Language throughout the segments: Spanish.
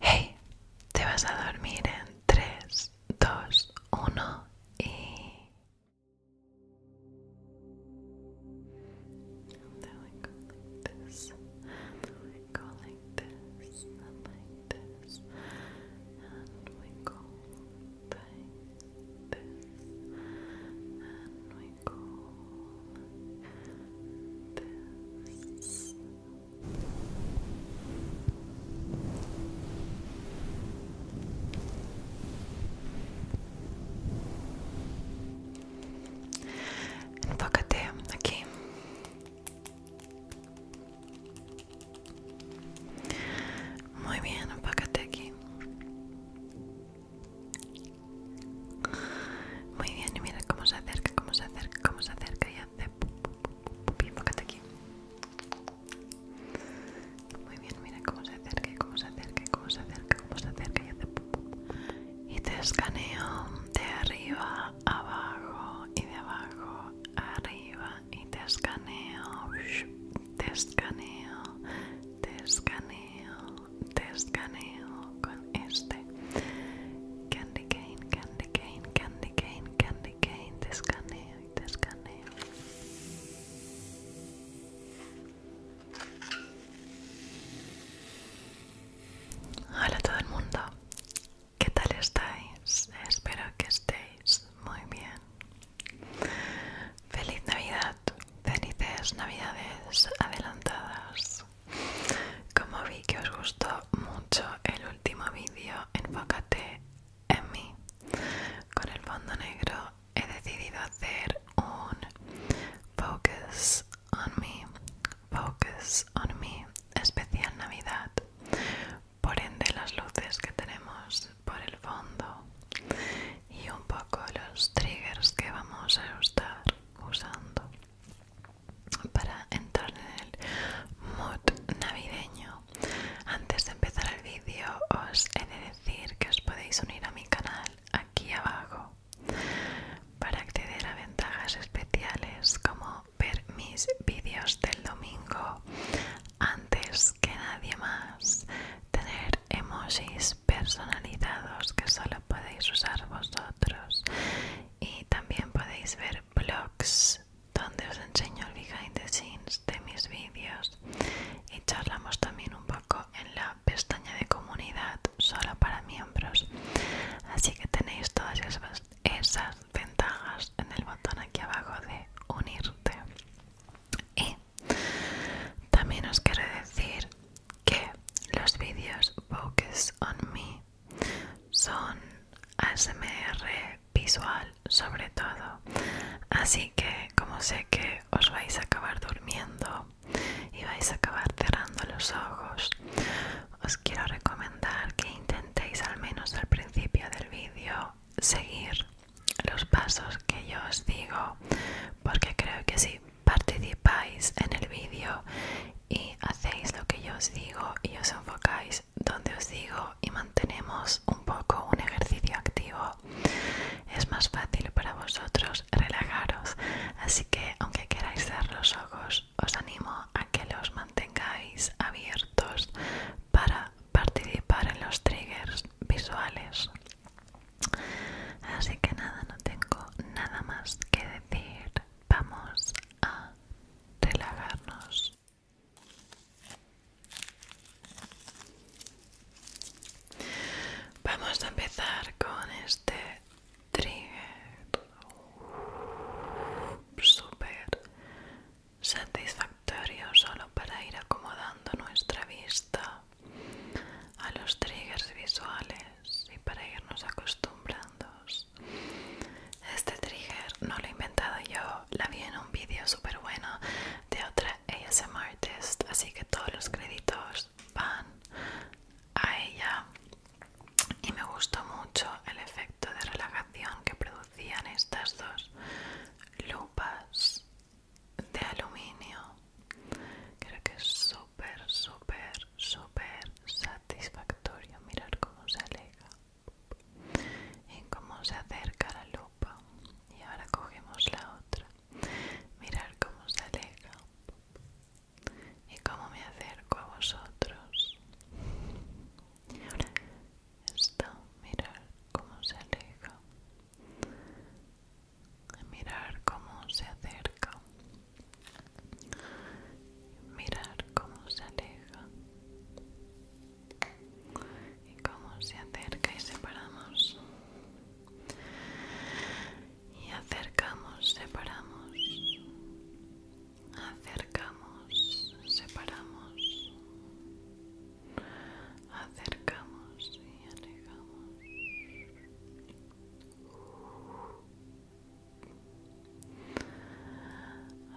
Hey, te vas a dormir en 3, 2, 1 y... we go like this, and then go like this, and like this, and we go like this, and we go this, Enfócate aquí. Muy bien, enfócate aquí. Muy bien, y mira cómo se acerca, cómo se acerca, cómo se acerca y hace muy bien, mira cómo se acerca cómo se acerca cómo se acerca, cómo se acerca y te escaneo de arriba abajo y de abajo arriba y te escaneo, te escaneo, te escaneo, te escaneo con este. candy candy cane, candy cane, candy cane, candy cane, te escaneo y te escaneo. Hola a todo el mundo, ¿qué tal estáis? Espero que estéis muy bien. Feliz Navidad, felices Navidades adelantadas. Como vi que os gustó mucho el último vídeo, enfócate en mí. Con el fondo negro he decidido hacer un Focus on Me, Focus on Me, especial Navidad. Por ende las luces que tenemos por el fondo y un poco los triggers que vamos a estar usando para entrar en el mood navideño. Antes de empezar el vídeo os he de decir que os podéis unir a mi canal aquí abajo para acceder a ventajas especiales como ver mis vídeos del domingo antes que nadie más, tener emojis personalizados que solo podéis usar vosotros y también podéis ver blogs donde os enseño el behind the scenes de mis vídeos y charlamos también un poco en la pestaña de comunidad solo para miembros así que tenéis todas esas, ventajas en el botón aquí abajo de unirte y también os quiero decir que los vídeos focus on me son ASMR visual sobre todo. Así que como sé que os vais a acabar durmiendo y vais a acabar cerrando los ojos, os quiero recomendar que intentéis al menos al principio del vídeo seguir los pasos que yo os digo porque creo que si participáis en el vídeo y hacéis lo que yo os digo y os enfocáis donde os digo y mantenemos un poco un ejercicio activo es más fácil para vosotros relajaros así que aunque queráis cerrar los ojos os animo a que los mantengáis abiertos para participar en los triggers visuales así que nada no tengo nada más que decir vamos a relajarnos. Vamos a empezar con este trigger súper satisfactorio solo para ir acomodando nuestra vista a los triggers visuales y para irnos acostumbrando este trigger no lo he inventado yo, la vi en un vídeo súper bueno de otra ASM artist, así que todos los créditos van a ella. Y me gustó mucho el efecto de relajación que producían estas dos lupas de aluminio. Creo que es súper, súper, súper satisfactorio mirar cómo se aleja y cómo se acerca la lupa y ahora cogemos la otra mirar cómo se aleja y cómo me acerco a vosotros y ahora mirar cómo se aleja mirar cómo se acerca mirar cómo se aleja y cómo se acerca y separamos y acercamos, separamos acercamos, separamos acercamos y alejamos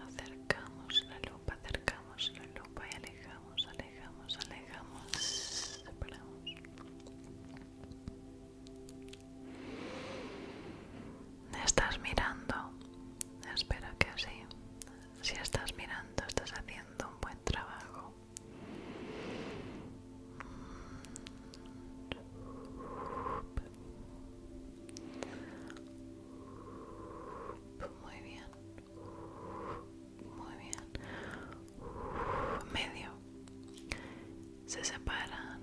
Acercamos la lupa, acercamos la lupa y alejamos, alejamos, alejamos. Separamos. Estás mirando. Espero que así. Si estás mirando, estás haciendo un buen trabajo muy bien muy bien medio se separan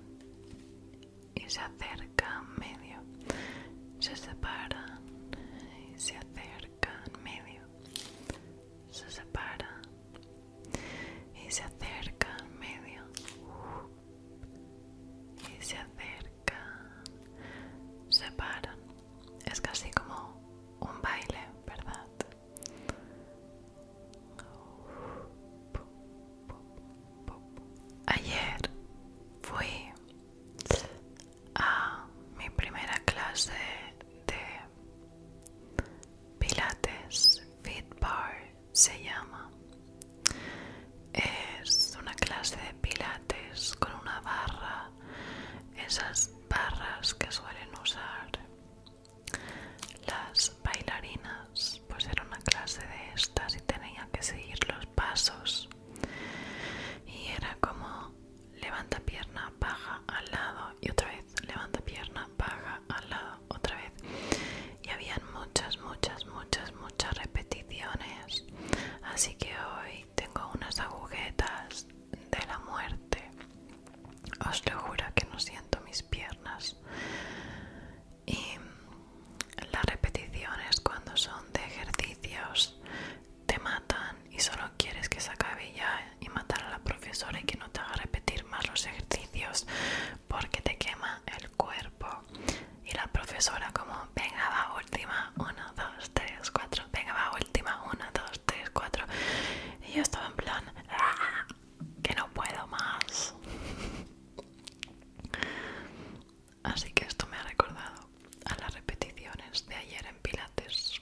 y se acercan medio se separan y se acercan medio se separan y se acercan medio y se acercan separan se paran. Es casi como un baile, ¿verdad? Ayer fui a mi primera clase de Pilates Fit Bar se llama. Es una clase de pilates con una barra, esas barras que suelen usar las bailarinas, pues era una clase de estas y tenía que seguir los pasos. Y era como levanta pierna, baja al lado y otra vez, levanta pierna, baja al lado, otra vez. Y habían muchas, muchas, muchas, muchas muchas repeticiones, así que hoy tengo unas agujetas de la muerte. Os lo juro que no siento mis piernas. Y las repeticiones cuando son de ejercicios te matan y solo quieres que se acabe ya y matar a la profesora y que no te haga repetir más los ejercicios porque te quema el cuerpo. Y la profesora como, venga va, última, 1, 2, 3, 4, venga va, última, 1, 2, 3, 4. Y yo estaba en plan, ah, que no puedo más. Así que esto me ha recordado a las repeticiones de ayer en Pilates.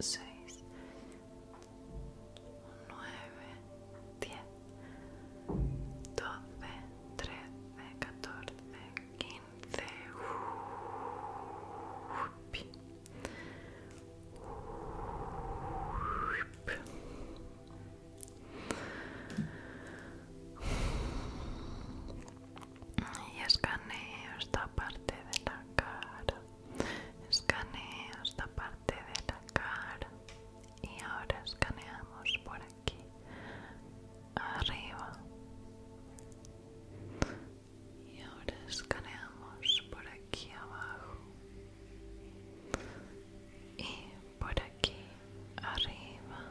6, 9, 10, 12, 13, 14, 15. Y escaneo esta parte de la cara Escanea esta parte de la cara y ahora escaneamos por aquí arriba y ahora escaneamos por aquí abajo y por aquí arriba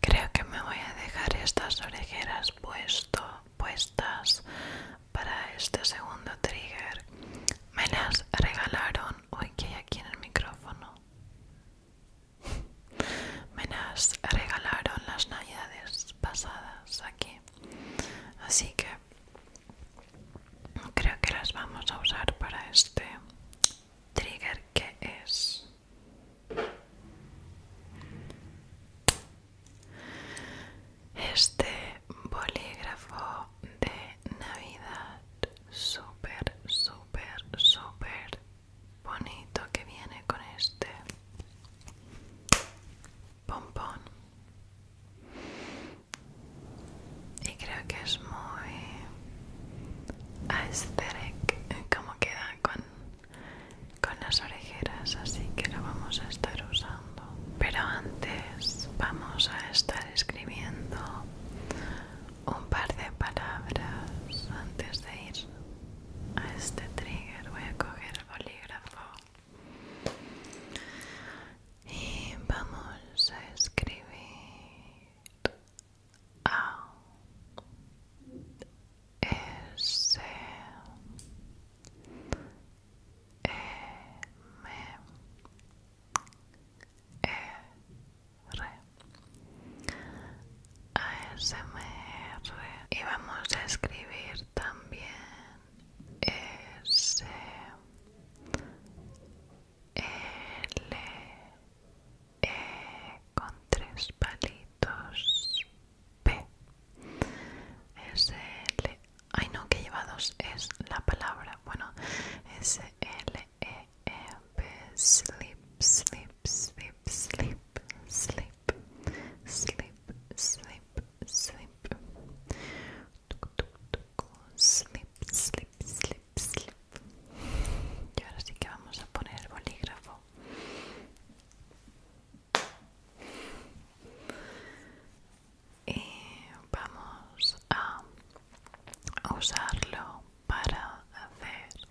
Creo que me voy a dejar estas orejeras puestas para este segundo trigger. Me las regalaron. Uy, que hay aquí en el micrófono. Me las regalaron las navidades pasadas aquí. Así que creo que las vamos a usar para este trigger que es este bolígrafo de navidad súper súper súper bonito que viene con este pompón y creo que es muy aesthetic como queda con, con las orejeras así que lo vamos a estar usando pero antes vamos a estar escribiendo un par de palabras antes de ir a este trigger voy a coger el bolígrafo y vamos a escribir a S M R y vamos a escribir también S L E con tres palitos P S L Ay no, que lleva dos es la palabra. Bueno, S L E E P sleep, sleep, sleep, sleep, sleep, sleep, sleep, sleep. Slip Sleep, sleep, sleep. Y ahora sí que vamos a poner bolígrafo. Y vamos a usarlo para hacer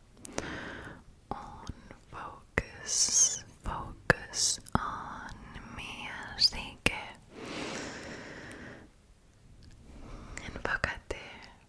un focus, focus on me, así que enfócate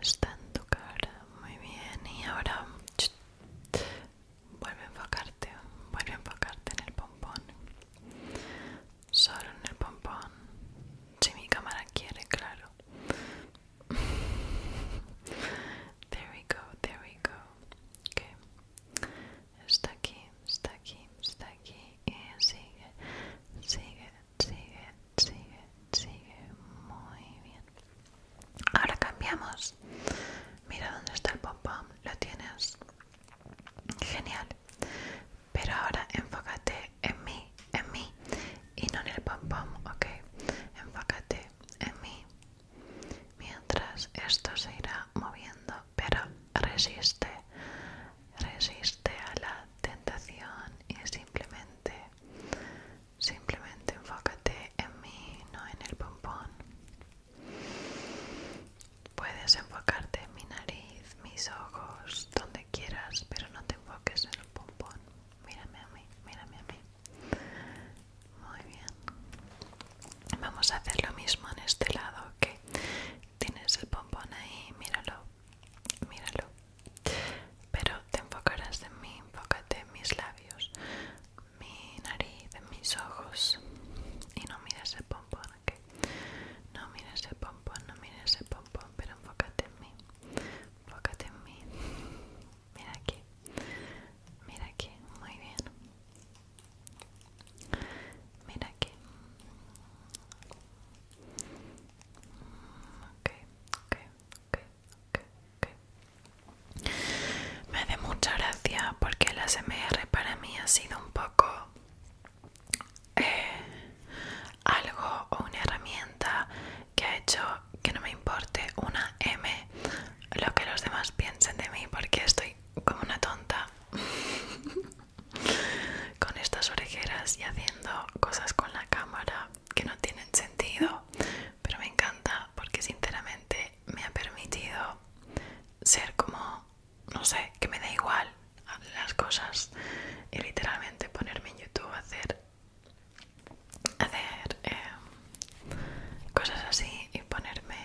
está en tu cara muy bien y ahora vuelve a enfocarte vuelve a enfocarte en el pompón solo en el pompón si mi cámara quiere claro there we go there we go está aquí está aquí está aquí y sigue sigue sigue, sigue, sigue. Muy bien. Ahora cambiamos. Mira dónde está el pom Lo tienes. Genial. Pero ahora enfócate en mí, en mí. Y no en el pom-pom, ¿ok? Enfócate en mí. Mientras esto se irá moviendo. Pero resiste. Resiste a la tentación y simplemente Simplemente enfócate en mí, no en el pompón. Puedes enfocarte en mi nariz, mis ojos, donde quieras, pero no te enfoques en el pompón. Mírame a mí, mírame a mí. Muy bien. Vamos a hacer lo mismo en este lado, que Tienes el pompón ahí, míralo, míralo pero te enfocarás en mí, enfócate en mis labios, mi nariz, en mis ojos y no mires el pompón, ¿ok? No mires el pompón, no mires el pompón, pero enfócate en mí, enfócate en mí, mira aquí, mira aquí, muy bien. Mira aquí. Mm, ok, ok, okay. Me hace mucha gracia porque las MR para mí ha sido un poco eh, algo o una herramienta que ha hecho que no me importe una M lo que los demás piensen de mí porque estoy como una tonta con estas orejeras y haciendo cosas con la cámara que no tienen sentido pero me encanta porque sinceramente me ha permitido ser como, no sé, que me da igual las cosas y literalmente ponerme en YouTube hacer, hacer em, cosas así y ponerme,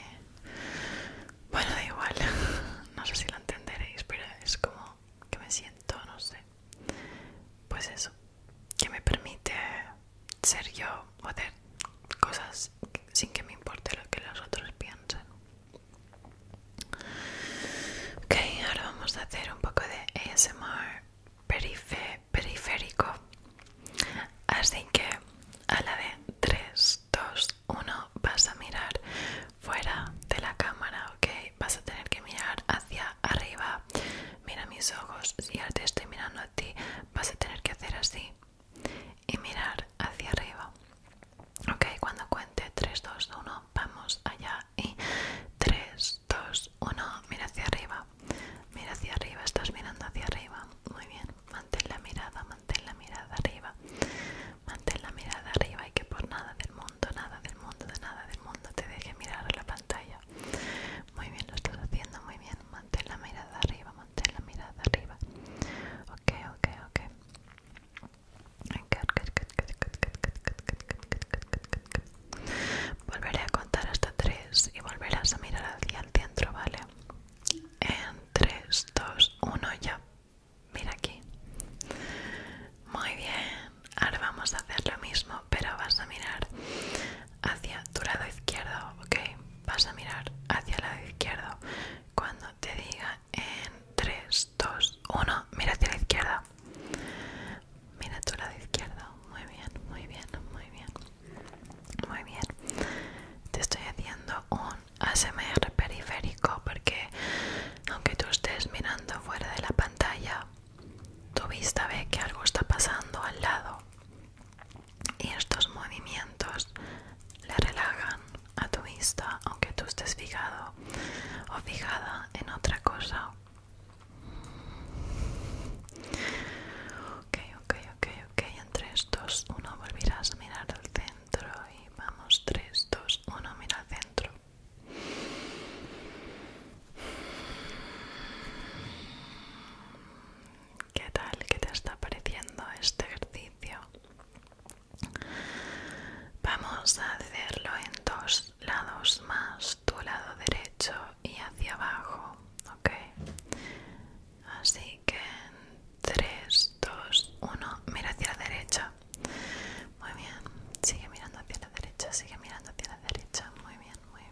bueno, da igual, no sé si lo entenderéis, pero es como que me siento, no sé, pues eso que me permite ser yo o hacer cosas sin que me importe lo que los otros piensen. Ok, ahora vamos a hacer un poco de ASMR periférico. Así que a la de 3, 2, 1 vas a mirar fuera de la cámara, ok? Vas a tener que mirar hacia arriba mira mis ojos, y ahora te estoy mirando a ti, vas a tener que hacer así y mirar hacia arriba. Ok, cuando cuente 3, 2, 1, vamos allá y 3, 2, 1, mira hacia arriba, mira hacia arriba, estás mirando hacia arriba, muy bien, mantén la mirada, mantén la mirada arriba, mantén la mirada arriba y que por nada del mundo, nada del mundo, de nada del mundo te deje mirar a la pantalla. Muy bien, lo estás haciendo muy bien. Mantén la mirada arriba, mantén la mirada arriba. Ok, ok, ok. Volveré a contar hasta tres y volverás a mirar hacia el centro, ¿vale? En 3, 2, 1, ya. Mira aquí. Muy bien, ahora vamos a hacer lo mismo pero vas a mirar hacia tu lado izquierdo ok vas a mirar hacia el lado izquierdo cuando te diga en 3 2 1 mira hacia la izquierda mira tu lado izquierdo muy bien muy bien muy bien muy bien te estoy haciendo un ASMR periférico porque aunque tú estés mirando fuera de la pantalla tu vista ve que algo está pasando al lado y estos movimientos le relajan a tu vista aunque tú estés fijado o fijada en otra cosa. Ok, ok, ok, ok. Entre estos, uno volverás a mirar al centro y vamos, 3, 2, 1, mira al centro. ¿Qué tal? ¿Qué te está pareciendo este ejercicio? Vamos a hacerlo en dos lados más, tu lado derecho y hacia abajo, ¿ok? Así que en 3, 2, 1, mira hacia la derecha. Muy bien, sigue mirando hacia la derecha, sigue mirando hacia la derecha. Muy bien, muy bien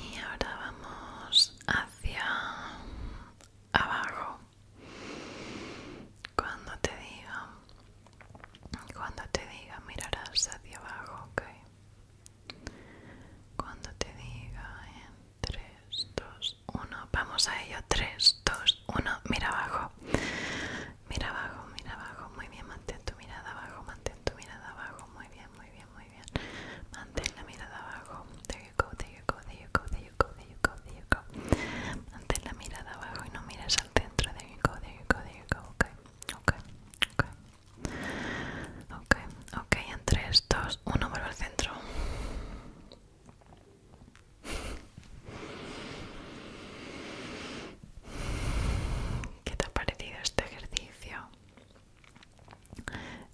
Y ahora vamos hacia abajo. Cuando te diga, cuando te diga, mirarás hacia abajo, ¿ok? Cuando te diga en 3, 2, 1, vamos a ello, 3, 2, 1, mira abajo, mira abajo, mira abajo, muy bien, mantén tu mirada abajo, mantén tu mirada abajo, muy bien, muy bien, muy bien, mantén la mirada abajo, De you go, there you go, de you go, there go, there go, there go, mantén la mirada abajo y no mires al centro, De you go, there you go, there you go, ok, ok, ok, ok, ok, en 3, 2, 1, vuelve al centro. ¿Qué te ha parecido este ejercicio?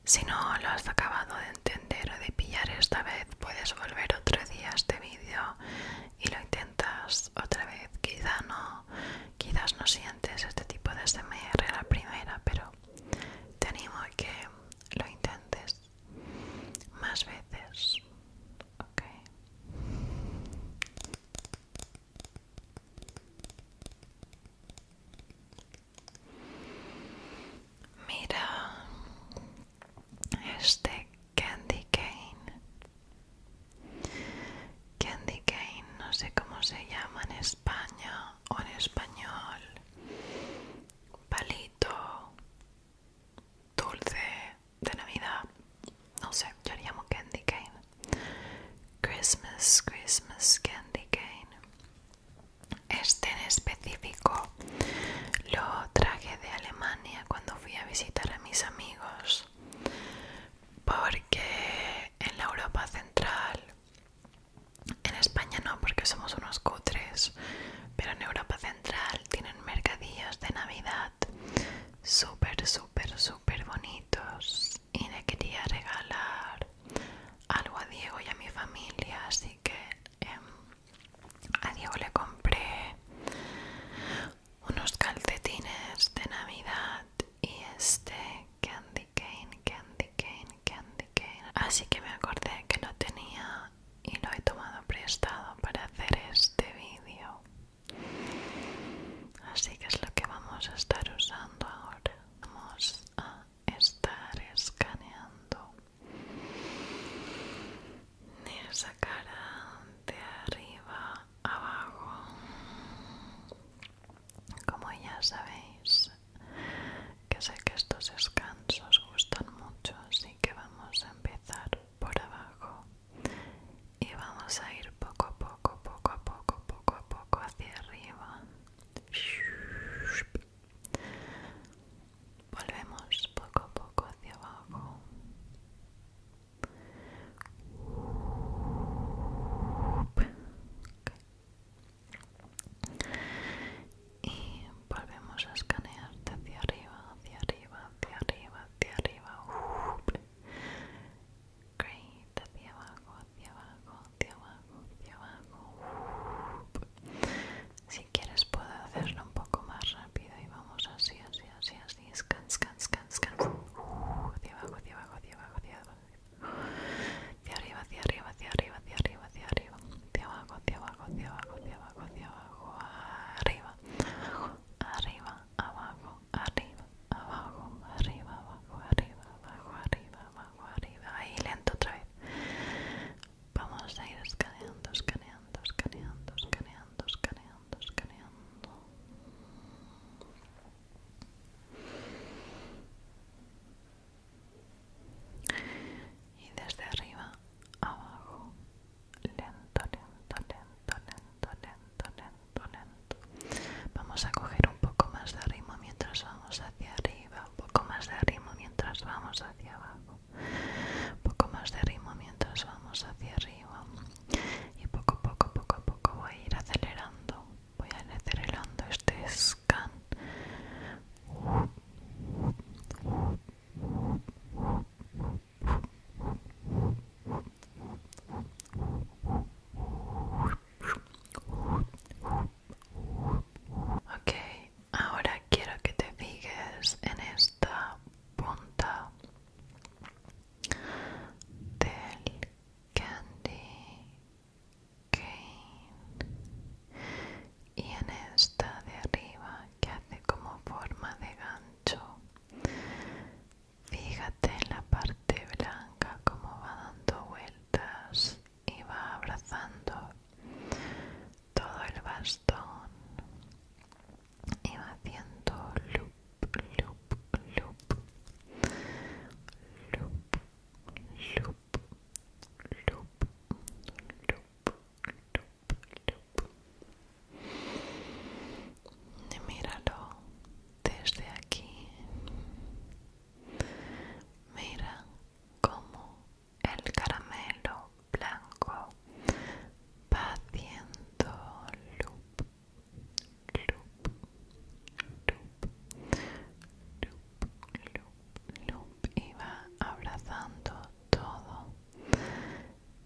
Si no lo has acabado de entender o de pillar esta vez, puedes volver otro día a este vídeo y lo intentas otra vez. Quizá no, quizás no sientes este tipo de SMR a la primera, pero te animo a que lo intentes más veces, Mira este Candy Cane. Candy Cane, no sé cómo se llama en España o en español. Palito, dulce de Navidad. No sé, yo le llamo candy cane. Christmas, Christmas candy cane. Este en específico lo traje de Alemania cuando fui a visitar a mis amigos. Porque en la Europa Central, en España no, porque somos unos cutres, pero en Europa Central tienen mercadillos de navidad súper súper súper bonitos y le quería regalar algo a Diego y a mi familia así que em, a Diego le compré unos calcetines de navidad y este candy cane candy cane candy cane así que me acordé que lo tenía y lo he tomado prestado para hacer este vídeo. Así que es lo que vamos a estar usando ahora. Vamos a estar escaneando esa cara de arriba abajo. Como ya sabéis, que sé que estos descansos gustan mucho, así que vamos a empezar por abajo y vamos a ir poco a poco, poco a poco, poco a poco hacia arriba. Volvemos poco a poco hacia abajo y volvemos a escanearte hacia arriba, hacia arriba, hacia arriba, hacia arriba. Great, hacia abajo, hacia abajo, hacia abajo, hacia abajo. Si quieres puedo hacerlo un poco más rápido y vamos así, así, así, así. Scan, scan, scan, scan. Hacia abajo, hacia abajo, hacia abajo, hacia abajo. Hacia arriba, hacia arriba, hacia arriba, hacia arriba, hacia arriba, hacia abajo, hacia abajo, hacia abajo, hacia abajo, hacia abajo, arriba, arriba, abajo, arriba, abajo, arriba, abajo, arriba, abajo, arriba, abajo, arriba, ahí lento otra vez. Vamos a ir escaneando, escaneando, escaneando, escaneando, escaneando, escaneando. Y desde arriba, abajo, lento, lento, lento, lento, lento, lento, lento. Vamos a coger un poco más de ritmo mientras vamos hacia arriba, un poco más de ritmo mientras vamos hacia abajo, un poco más de ritmo mientras vamos hacia arriba. Y poco a poco, poco a poco voy a ir acelerando, voy a ir acelerando este scan. Okay, ahora quiero que te fijes en esta punta del candy cane y en esta de arriba que hace como forma de gancho fíjate en la parte blanca como va dando vueltas y va abrazando todo el bastón y va haciendo loop loop loop loop loop loop loop loop y míralo desde aquí mira cómo el caramelo blanco va haciendo loop loop loop loop loop loop y va abrazando todo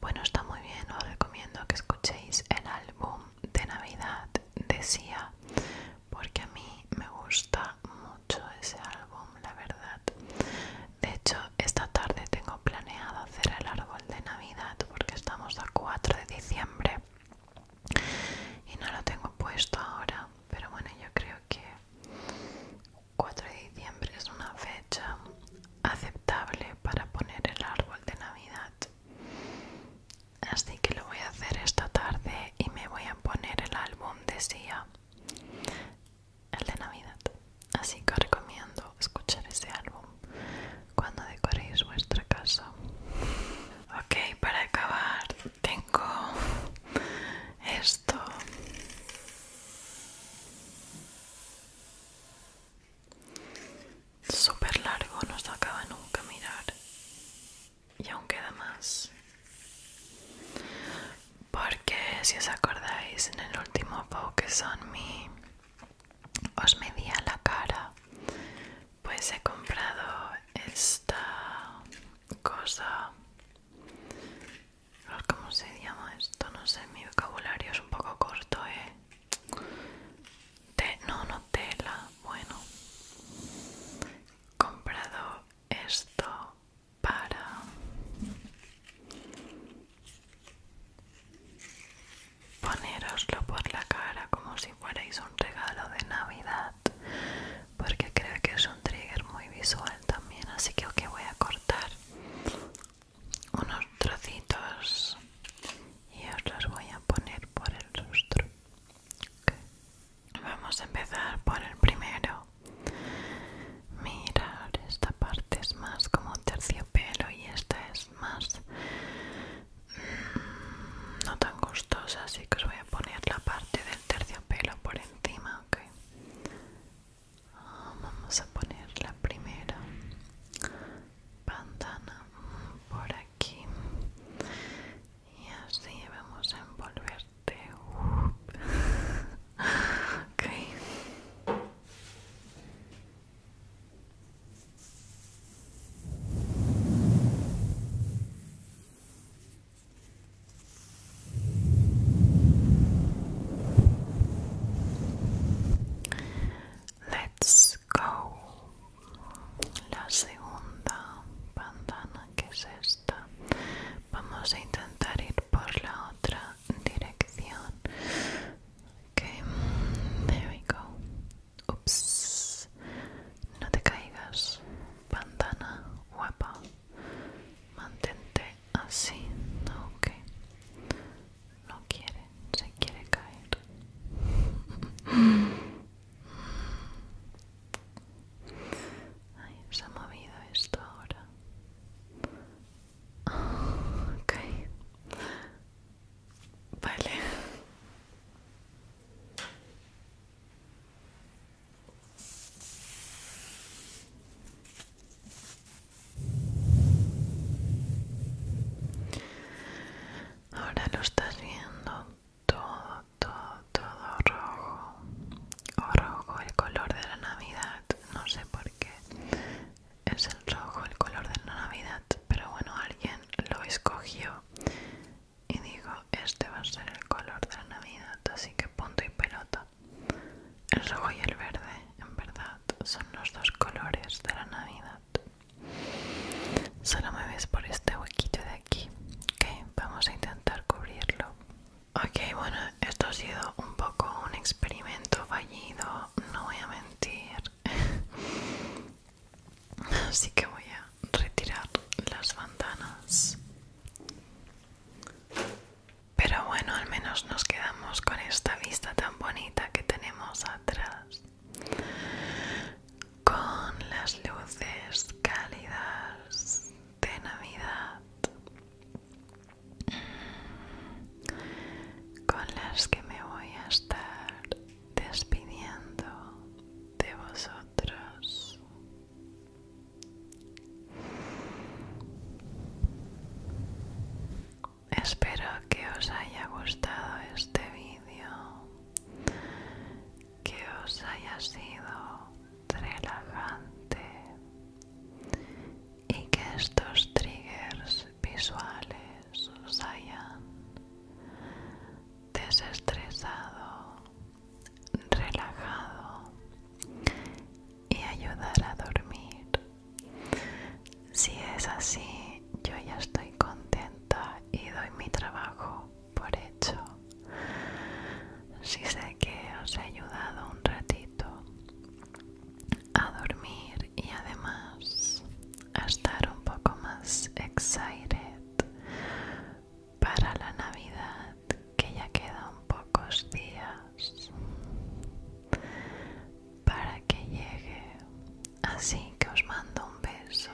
bueno, está muy bien, os recomiendo que escuchéis el álbum de Navidad de Sia, porque a mí me gusta mucho ese álbum, la verdad. De hecho, esta tarde tengo planeado hacer el árbol de Navidad, porque estamos a 4 de diciembre y no lo tengo puesto ahora, pero bueno, yo creo que 4 de diciembre es una fecha aceptable para poner el árbol de Navidad. Así que lo voy a hacer esta tarde y me voy a poner el álbum de Sia, el de Navidad. Así que os recomiendo escuchar ese álbum cuando decoréis vuestra casa. Ok, para acabar tengo esto super largo, no se acaba nunca mirar. Y aún queda más. Porque si os acordáis, en el último Focus son Me os medía la cara. Pues he comprado esta cosa ¿Cómo se llama esto? No sé, mi vocabulario es un poco corto, ¿eh? no, no tela. Bueno. Comprado esto para... Poneroslo por la cara como si fuerais un regalo de Navidad, porque creo que es un trigger muy visual también, así que que voy a cortar unos trocitos y os los voy a poner por el rostro. Vamos a empezar por el primero. Mirad, esta parte es más como terciopelo y esta es más mm, no tan gustosa, así que os voy a poner la parte del terciopelo por encima, Vamos a poner la primera bandana por aquí y así vamos a envolverte. Okay. Let's go. La segunda bandana que es esta. Vamos a intentar ir por la otra dirección. Okay, there we go. Ups, no te caigas, bandana guapa. Mantente así, ok no quiere, se quiere caer. Ay, se ha movido esto ahora. Vale. Ahora lo estás viendo todo, todo, todo rojo. O rojo, el color de la Navidad. No sé por qué es el rojo, el color de la Navidad. Pero bueno, alguien lo escogió y dijo, este va a ser el color de la Navidad. Así que punto y pelota. El rojo y el verde, en verdad, son los dos colores de la Navidad. Solo me ves por este huequito de aquí. Ok, vamos a intentar cubrirlo. Ok, bueno, esto ha sido un poco un experimento fallido, no voy a mentir. Así que voy a retirar las bandanas. Pero bueno, al menos nos quedamos con esta vista tan bonita que tenemos atrás. Con las luces cálidas de Navidad. Con las que me voy a estar despidiendo de vosotros espero que os haya gustado este vídeo, que os haya sido relajante y que estos triggers visuales os hayan desestresado, relajado y ayudar a dormir. Si es así, yo ya estoy contenta y doy mi trabajo por hecho. Si sé que os he ayudado un ratito a dormir y además a estar un poco más excited para la Navidad, que ya quedan pocos días para que llegue. Así que os mando un beso.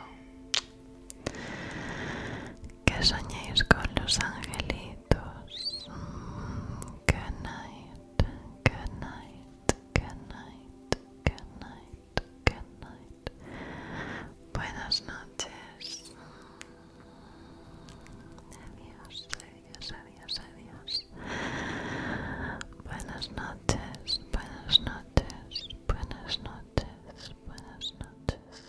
Que soñéis con los angelitos. Good night, good night, good night, good night, good night. Buenas noches. Adiós, adiós, adiós, adiós. Buenas noches, buenas noches, buenas noches, buenas noches.